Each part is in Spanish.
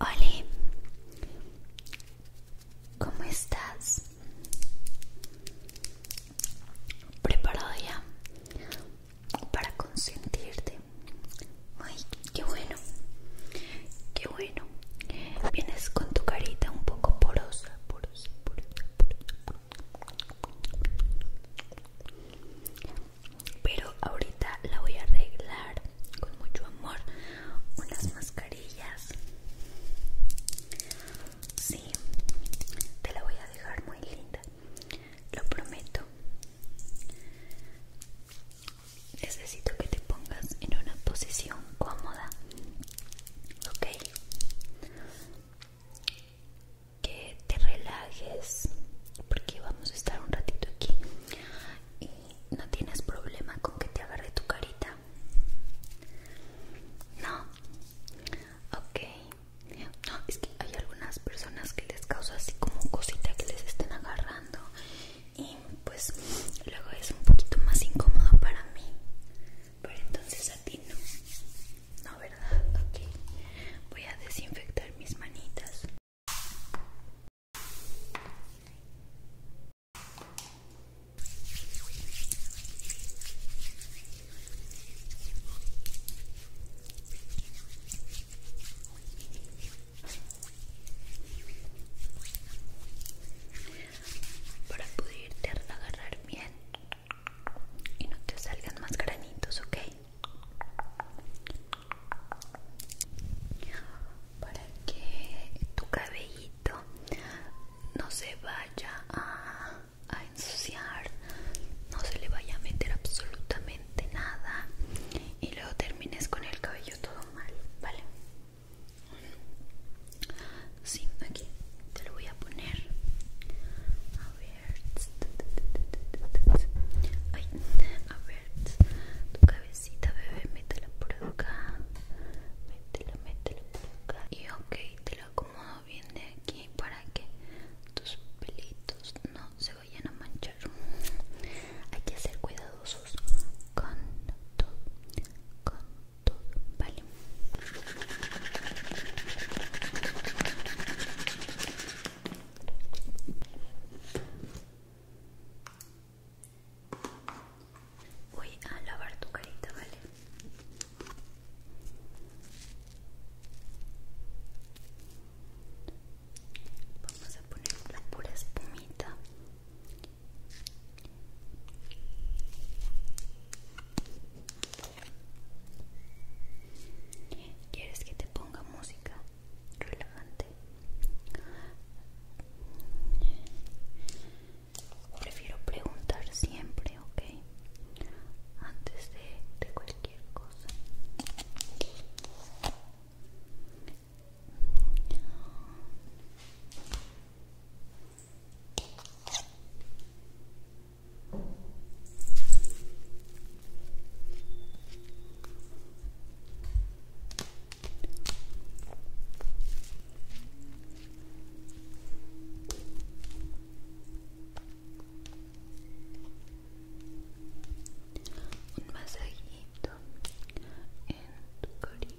Hola, ¿cómo estás? ¿Preparado ya para consentirte? Ay, qué bueno, qué bueno. Vienes con tu carita un poco porosa, porosa, porosa, porosa, pero ahorita la voy a arreglar con mucho amor. Unas mascarillas. Sí, te la voy a dejar muy linda. Lo prometo. Necesito que te pongas en una posición cómoda. Ok que te relajes porque vamos a estar un ratito aquí y no tienes problema con que te agarre tu carita no ok no es que hay algunas personas que les causa así como cosita que les estén agarrando y pues luego es un poquito más incómodo para mí pero entonces a ti no. No, ¿verdad? Ok. Voy a desinfectar mis manitas. Para poder agarrar bien y no te salgan más granitos, ok. Para que tu cabellito no se vaya a, a ensuciar, no se le vaya a meter absolutamente nada y luego termines con el cabello todo mal, ¿vale? Sí, aquí te lo voy a poner. A ver. a ver. Tu cabecita, bebé, métela por acá. Métela, métela por acá. Y ok, te lo acomodo bien de aquí para que tus pelitos no se vayan a manchar. Hay que ser cuidadosos con todo todo, ¿vale? Voy a lavar tu carita, ¿vale? Vamos a poner la pura espumita ¿Quieres que te ponga música relevante Prefiero preguntar siempre, ¿ok? Antes de, de cualquier cosa. Un masajito en tu carita.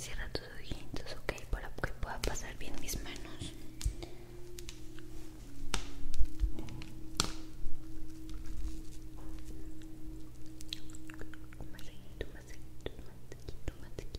Cierra tus ojitos, okay para que pueda pasar bien mis manos. Más seguido, más seguido, más seguido,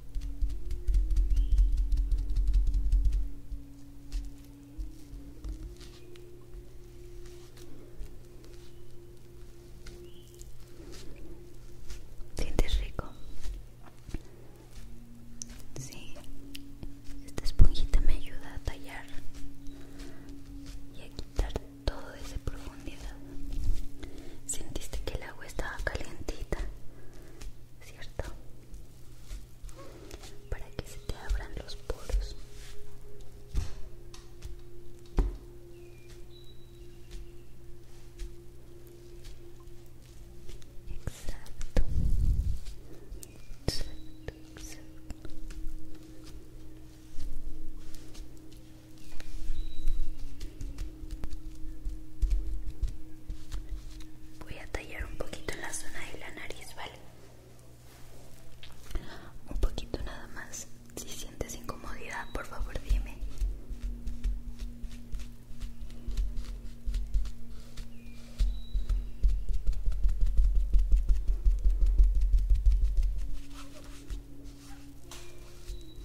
¿Sientes rico? Sí, esta esponjita me ayuda a tallar y a quitar todo esa profundidad. Sentiste que el agua estaba calientita ¿cierto? Para que se te abran los poros. Exacto. Voy a tallar un poquito la zona de la nariz, ¿vale? Un poquito nada más. Si sientes incomodidad, por favor dime.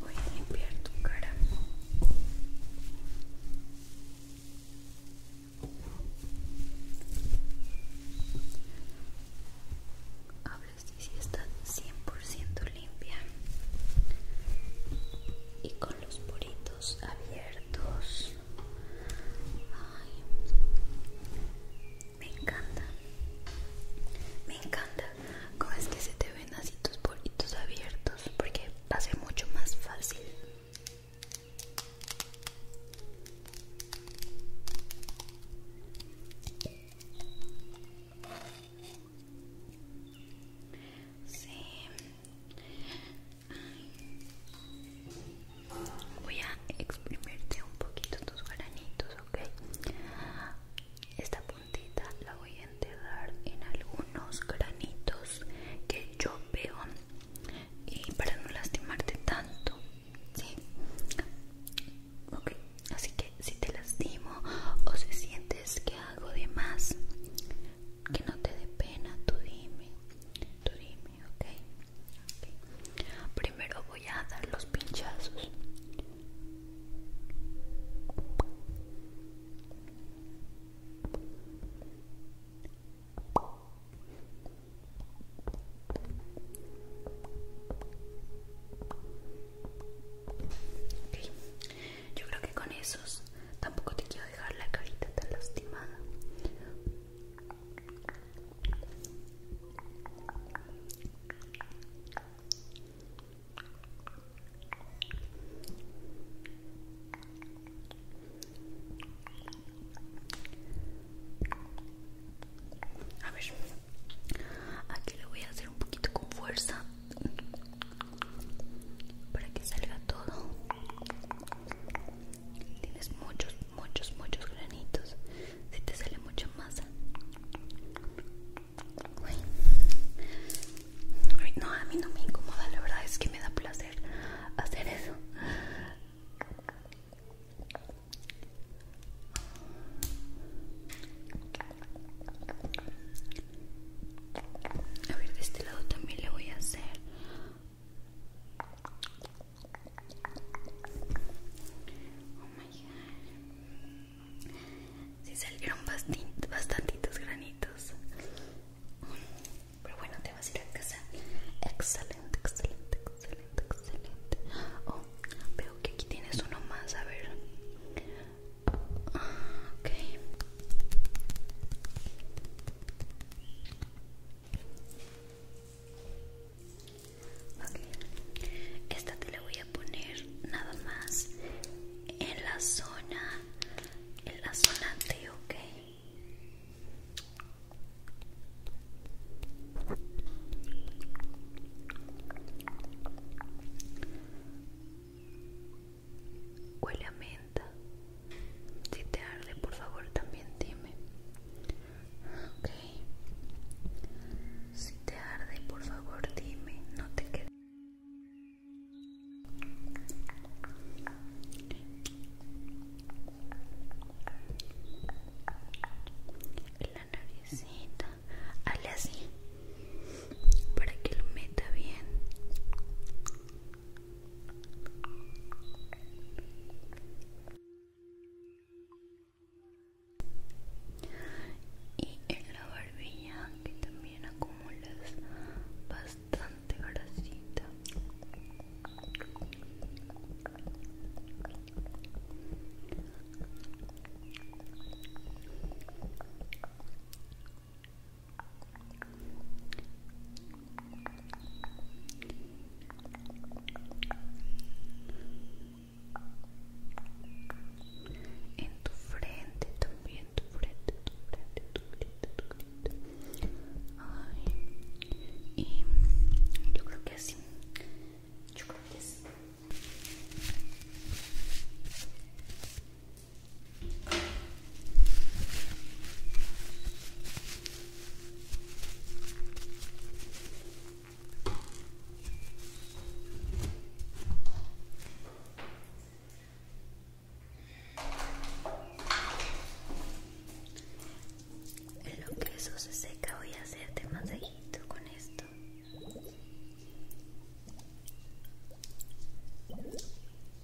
Voy a limpiar tu cara. Hablas si está 100% limpia y con los puritos abiertos me encanta. Me encanta Como es que se te ven así tus poritos abiertos porque hace mucho más fácil. Sí, Voy a exprimirte un poquito tus granitos, ¿ok? Esta puntita la voy a enterrar en algunos granitos que yo veo y para no lastimarte tanto, ¿sí? Ok, así que si te lastimo o si sientes que hago de más, que no te dé pena, tú dime, Primero voy a dar los pinchazos. Okay. Yo creo que con esos Tampoco te quiero dejar la carita tan lastimada. A ver, aquí le voy a hacer un poquito con fuerza para que salga todo tienes muchos muchos muchos granitos si te sale mucha masa no a mí no me incomoda la verdad es que me da placer hacer eso a ver, de este lado también le voy a hacer. Oh my god. Sí salieron bastantitos granitos. Pero bueno, te vas a ir a casa. Excelente, excelente, excelente, excelente. Oh, veo que aquí tienes uno más, a ver. Ah, ok. Esta te la voy a poner nada más en la zona, en la zona de ok. Huele a menta. Si te arde, por favor, también dime. Ok. Si te arde, por favor, dime. No te quedes. La naricita. hale así. Para que lo meta bien y en la barbilla que también acumulas bastante grasita En tu frente también, tu frente, tu frente, tu frente, tu frente. Ay. frente yo frente que frente Yo creo que así. Assim, En lo que se seca voy a hacerte masajito con esto.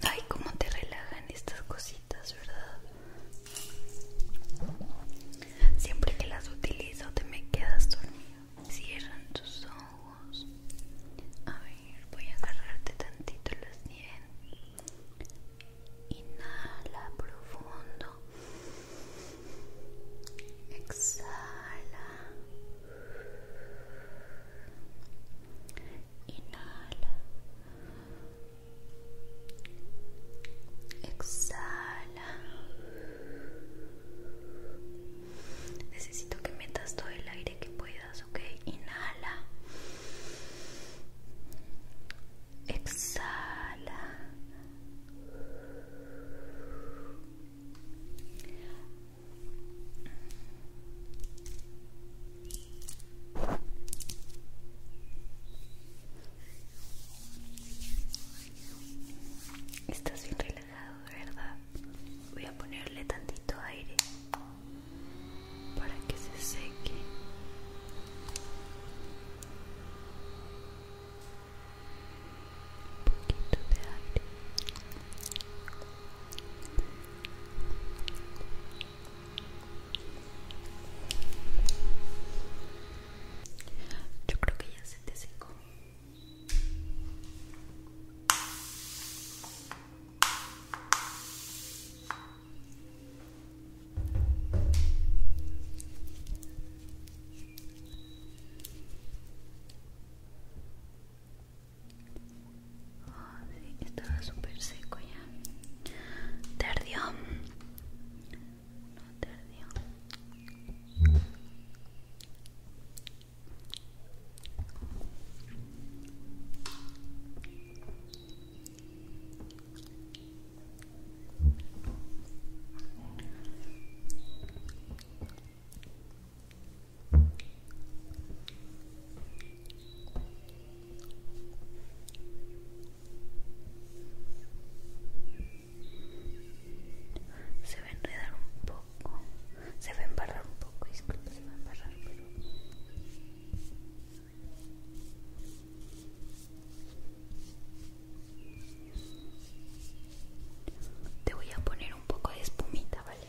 Ay, cómo te relajan estas cositas, ¿verdad? Siempre que las utilizo te me quedas dormido. Cierran tus ojos. A ver, voy a agarrarte tantito las dientes. Inhala profundo. Exhala. Inhala. Exhala. Necesito que metas todo el aire que puedas, ¿ok? Inhala. Exhala. Estás bien relajado, ¿verdad? Voy a ponerle tantito aire para que se seque. aire. Yo creo que ya se te secó. estaba súper seco ya. Te ardió no tardío se va a enredar un poco, se va a embarrar un poco, disculpe, se va a embarrar, Te voy a poner un poco de espumita, ¿vale?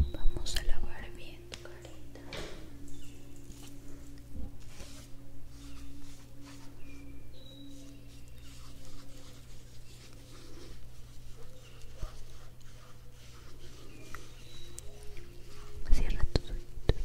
Vamos a lavar bien tu carita. Cierra tus ojitos.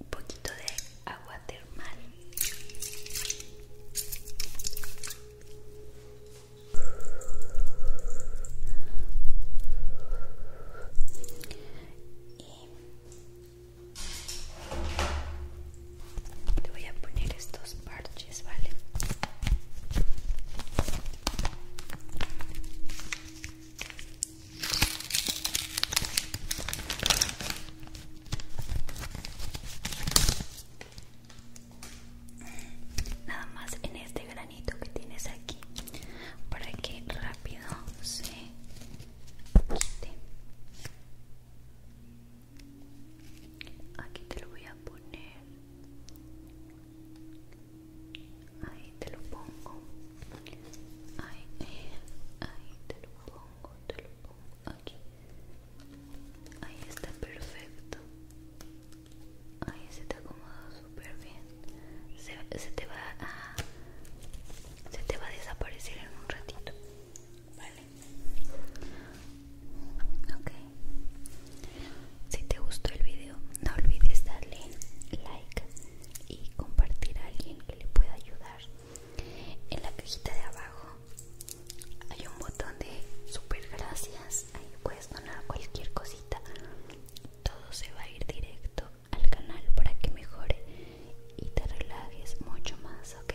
un poquito de agua termal y te voy a poner estos parches vale Nada más en este granito que tienes aquí para que rápido se quite. Aquí te lo voy a poner ahí te lo pongo ahí, te lo pongo te lo pongo aquí ahí está perfecto ahí se te acomoda súper bien se, se te va se te va a desaparecer en un ratito vale ok si te gustó el video, no olvides darle like y compartir a alguien que le pueda ayudar. En la cajita de abajo hay un botón de super gracias. Ahí puedes donar cualquier cosita. Todo se va a ir directo al canal para que mejore y te relajes mucho más, ¿ok?